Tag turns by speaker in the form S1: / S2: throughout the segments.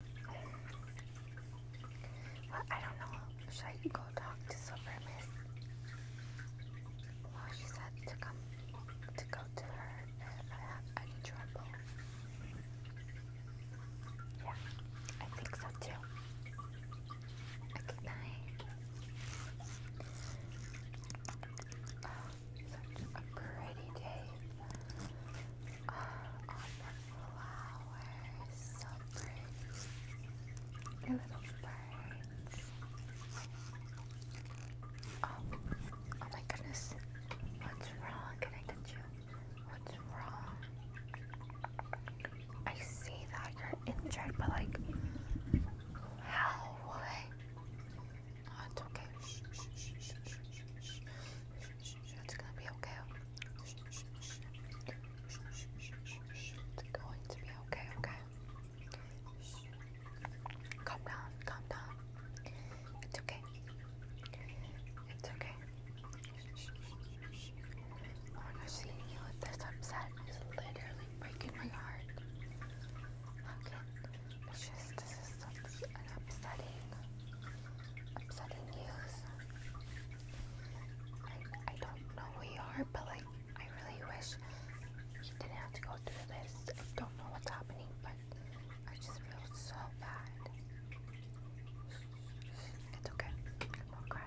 S1: I don't know. Should I go talk to Silver Well, she said to come to go to her if I have any trouble. Yeah, I think so too. Okay, night. Oh, such a pretty day uh, on the flowers, so birds, the little birds. Oh, oh my goodness, what's wrong? Can I touch you? What's wrong? I see that you're injured, but like, how would oh, it's okay. It's gonna be okay. It's going to be okay, okay? Calm down, calm down. It's okay. It's okay. Oh my gosh, seeing you with this upset is literally breaking my heart. How can it's just this is such an upsetting, upsetting news. I, don't know who you are, but like, I really wish you didn't have to go through this. I don't know what's happening, but I just feel so bad. It's okay. Don't cry.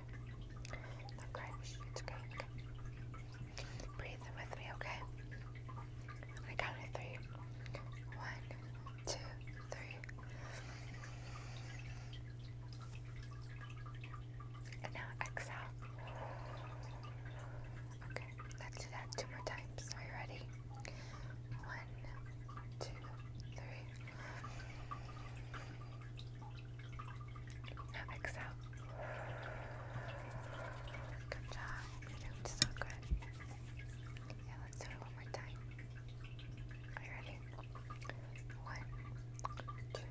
S1: Don't cry. It's okay. Breathe with me, okay? i count to three. One, And now exhale. Okay, let's do that two more times. Are you ready? One, two, three. Now exhale. Good job. You're doing so good. Yeah, let's do it one more time. Are you ready? One, two, three.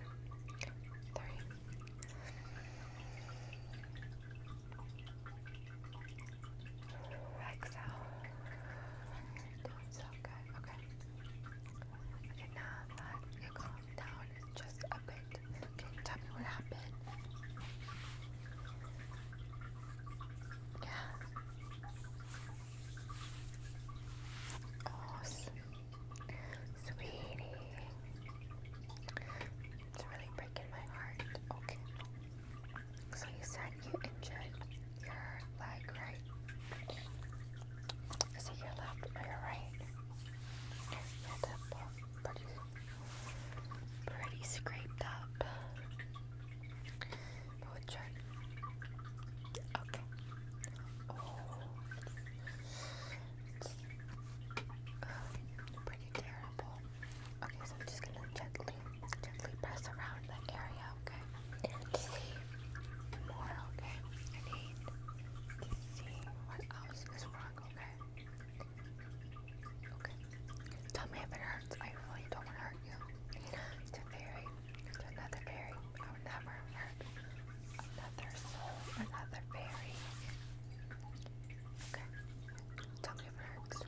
S1: Exhale. Doing Okay. Okay, now calm down just a bit, can you tell me what happened? Yeah. Oh, sweetie. It's really breaking my heart. Okay. So you said you injured your leg, right? Is it your left or oh, your right? pretty scraped up. Oh. pretty terrible. Okay, so I'm just gonna gently, gently press around that area, okay? see more, okay? I need to see what else is wrong, okay? Tell me if it hurts. I really don't want to hurt you. It's a fairy. It's another fairy. I would never hurt another soul, another fairy. Okay. Tell me if it hurts.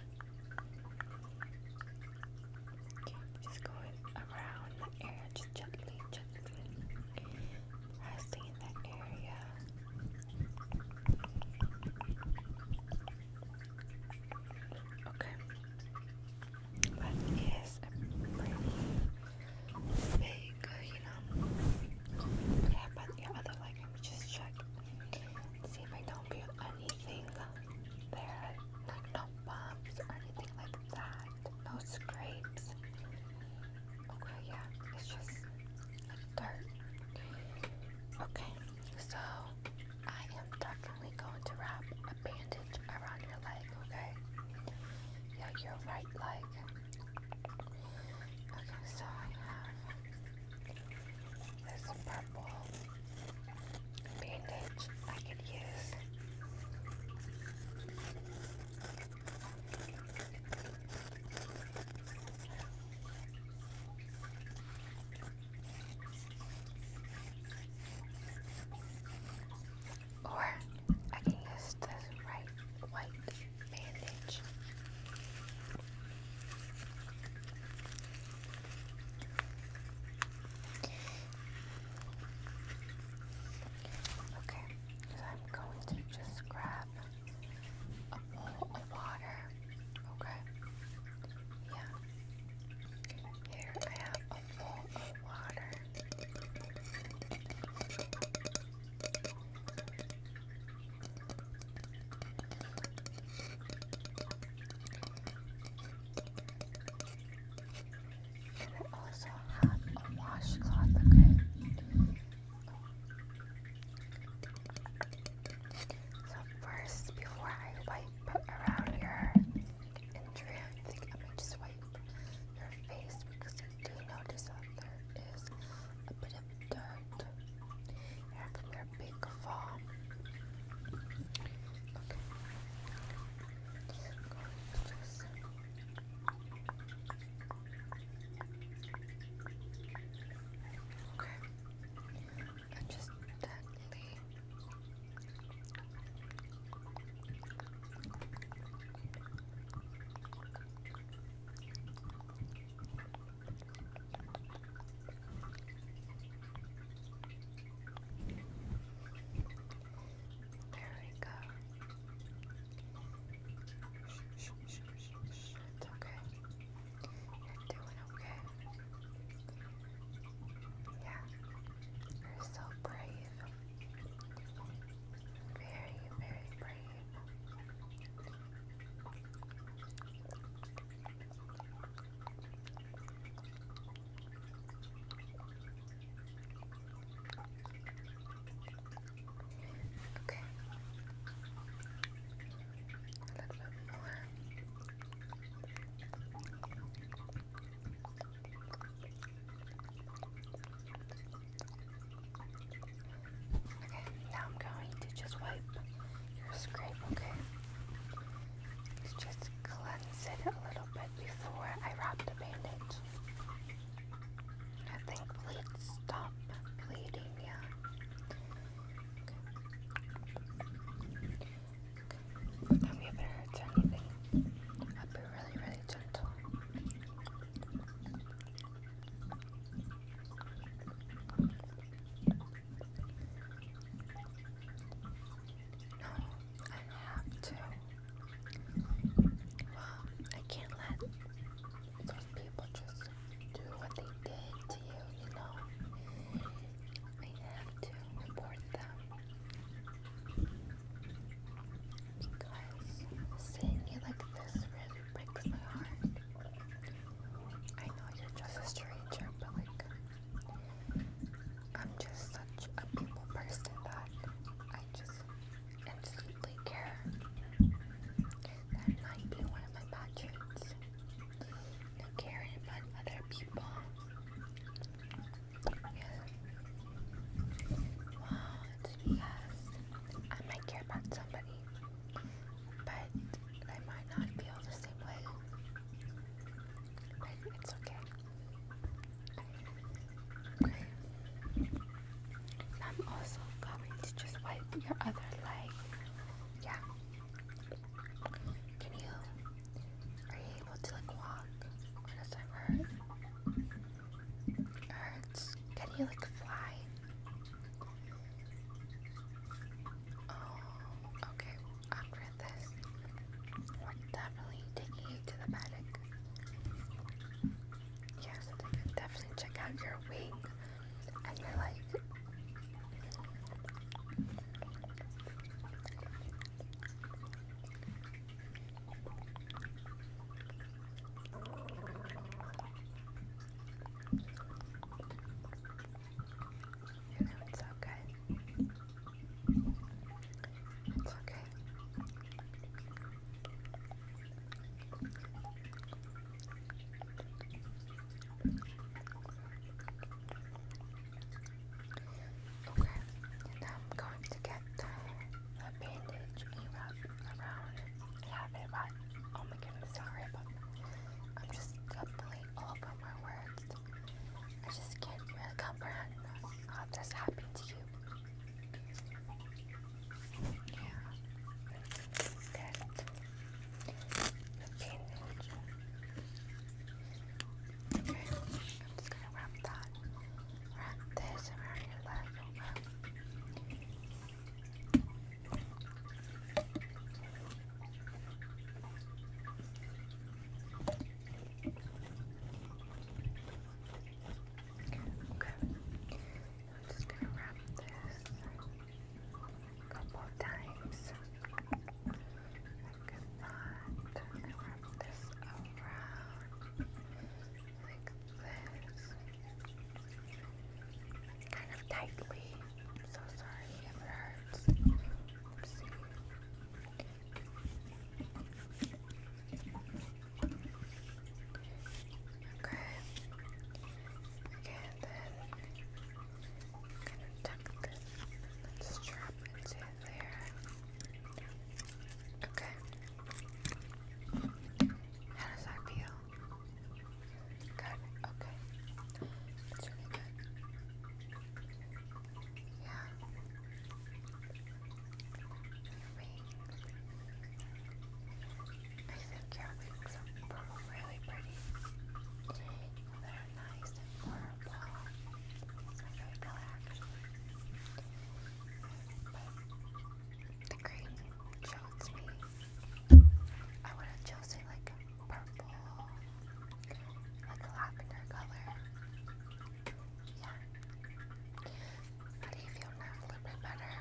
S1: Okay, just going around the area, just gently, gently pressing that area. Okay. That is a pretty big, you know. Yeah, but your other leg, let me just check. See if I don't feel anything there. Like no bumps or anything like that. No scrapes. Okay, yeah. It's just dirt. Okay. So I am definitely going to wrap a bandage around your leg, okay? Yeah, your right leg. Okay, so I have this purple bandage I can use. Or I can use this right white bandage. Okay, I'm going to just grab a bowl of water. Okay. Yeah. Here I have a bowl of water. I also have a washcloth, okay? So first, before I wipe around your injury, I think I might just wipe your face because I do notice that there is a bit of dirt here your big fall. Okay. And just gently there we go. It's okay. You're doing okay. Yeah. You're so brave. Very, very brave. Okay. A little bit more. Okay, now I'm going to just wipe your scrape, okay? just cleanse it a little bit before I wrap the bandage. I think bleed stop bleeding, yeah. Okay. you I'll be really, really gentle. No, I have to. I can't let people just do what they did to you, you know? We have to report them. Because seeing you like this really breaks my heart. I know you're just a stranger, but like, I'm just such a people person that I just instantly care. That might be one of my bad caring about other people. Yeah. Wow, because I might care about somebody, but they might not feel the same way. But it's okay. Okay. I'm also going to just wipe your other leg. Yeah. Can you, are you able to like walk? does that hurt? hurts. Can you like fly? Oh, okay. After this, definitely taking you to the medic yeah, so they could definitely check out your wing and your like you know, it's okay. It's okay. Okay, and I'm going to get a bandage and around yeah, bit about oh my goodness, sorry but I'm just completely over I just can't really comprehend how this happened to you. Okay, I'm just gonna wrap that, wrap this around your leg over. Okay. I'm just gonna wrap this a couple times. Like that. And wrap this around like this. Kind of tightly. so sorry if it hurts. Okay. Okay, then gonna tuck this, let into there. Okay. How does that feel? Good, okay. That's really good. Yeah. I think your weeks are really pretty. They're nice and warm, so very relaxing. But the green chose me. I would have chosen like purple, like lavender color. Yeah. How do you feel now? A little bit better?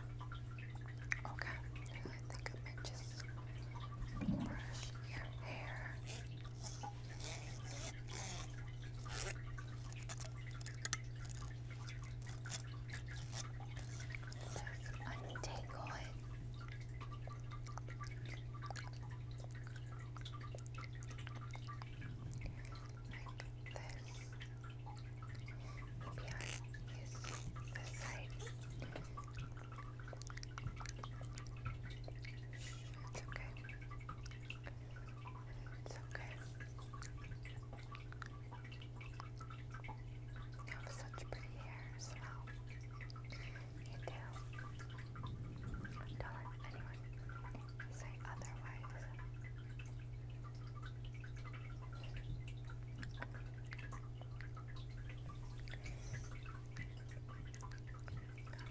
S1: Okay. I think I might just brush your hair. Just untangle it like It's okay. It's okay. You have such pretty hair as You do. Don't let anyone say otherwise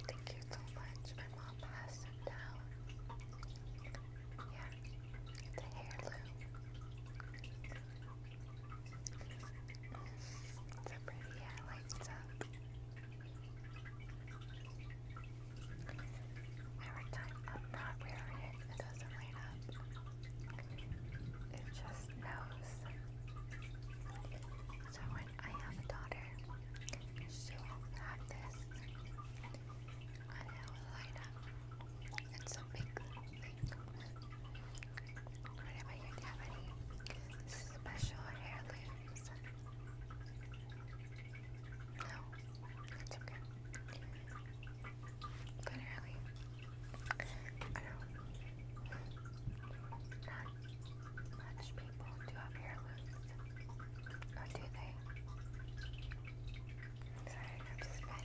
S1: thank you so much. My mom passed them down. Yeah, it's a heirloom. pretty, yeah, Every time I'm not wearing it, it doesn't light up. It just knows. So when I have a daughter, she will have this and it will up. It's a big thing. What about you? Do you have any special heirlooms? No, that's okay. Literally, I don't. Not much people do have hair Or do they? Sorry, I'm just been.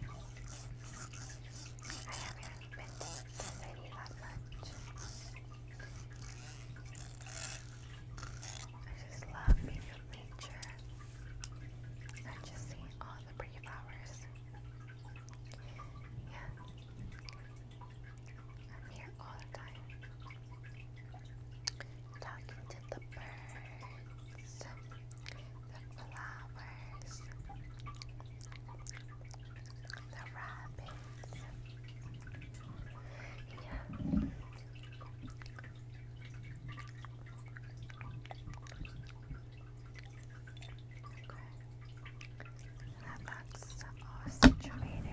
S1: I haven't been to the city that much. I just love being with nature and just seeing all the pretty flowers. Yeah. I'm here all the time. Talking to the birds, the flowers, the rabbits. Yeah that box all Move your hair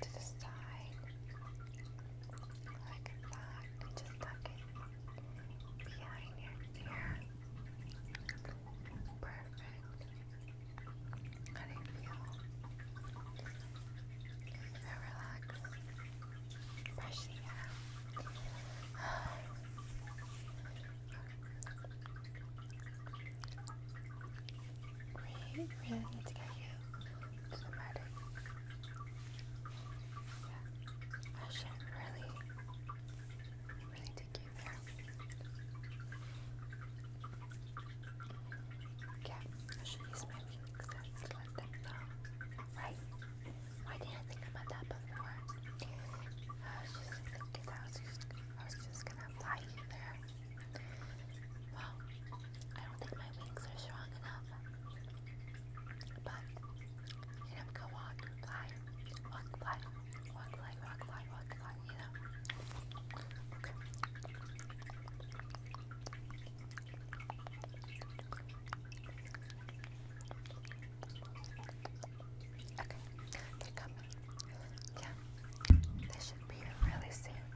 S1: to the side like that just tuck it behind your ear. Perfect. How do you feel? You relaxed? Brush air. We really need to get you to the medic. Yeah. I should really, really take you there. Yeah, I should use my weak let them know. Right? Why didn't I think about that before? I was just thinking I was just, I was just gonna fly you there. Well, I don't think my wings are strong enough. But, you know, go on, fly, walk, fly, walk, fly, walk, fly, walk not you Okay. they're coming. Yeah, they should be here really soon.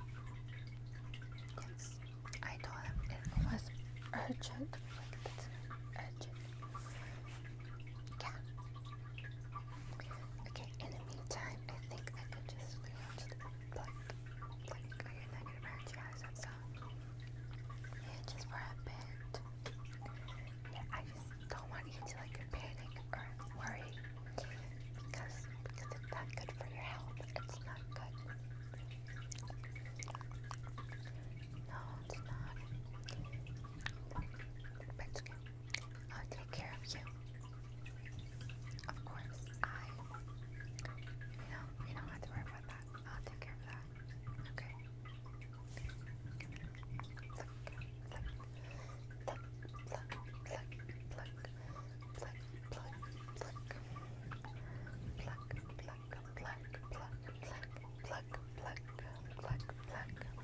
S1: Yes, I told them it was urgent. urgent. Yeah, Okay, in the meantime, I think I could just watch the like, like your negative energy eyes and stuff. Yeah, just for a Yeah, I just don't want you to like panic or worry because because it's not good for your health. It's not good. No, it's not. But I'll take care of you. Of course, I. You know, you don't have to worry about that. I'll take care of that. Okay.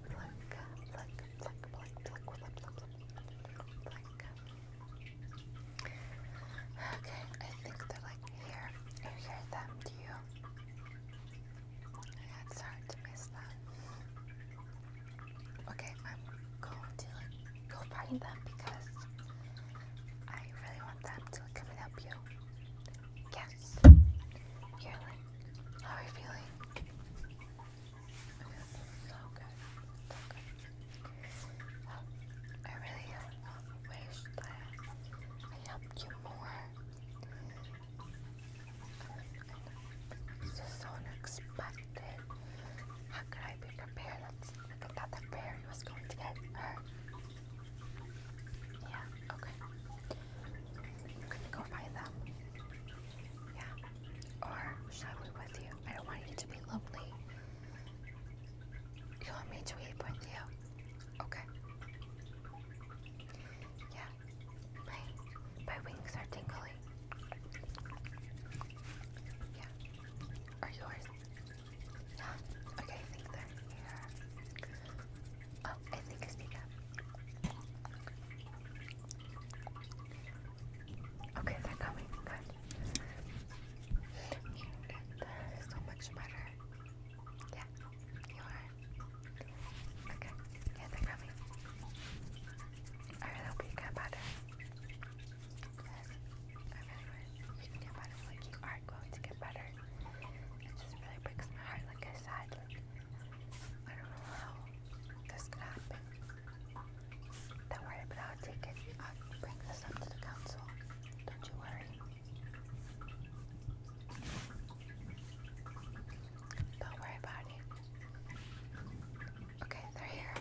S1: Pluck, Okay, I think they're like here. You hear them, do you? Yeah, it's hard to miss them. Okay, I'm going to go find them because I really want them to come and help you. Yeah, course. you how are you feeling? so good. So good. Um, I really um, wish I helped you more. so unexpected. How could I be prepared? That's, I thought that fairy was going to get hurt. Yeah, okay. I'm gonna go buy them. Yeah. Or should I wait with you? I don't want you to be lonely. You want me to eat with you? Okay. Yeah. My my wings are tingling. Yeah. Are yours? Yeah. Okay, I think they're here. Oh, I think it's up. Okay, they're coming. Good. you so much better. Yeah, you are. Okay, yeah, they're coming. I really hope you better. Yes, I really wish better. Like, you are going to get better. It just really breaks my heart, like I said. I don't know how this could happen. Don't worry, but I'll take it. I'll bring this up to the council. Don't you worry. Don't worry about it. Okay, they're here.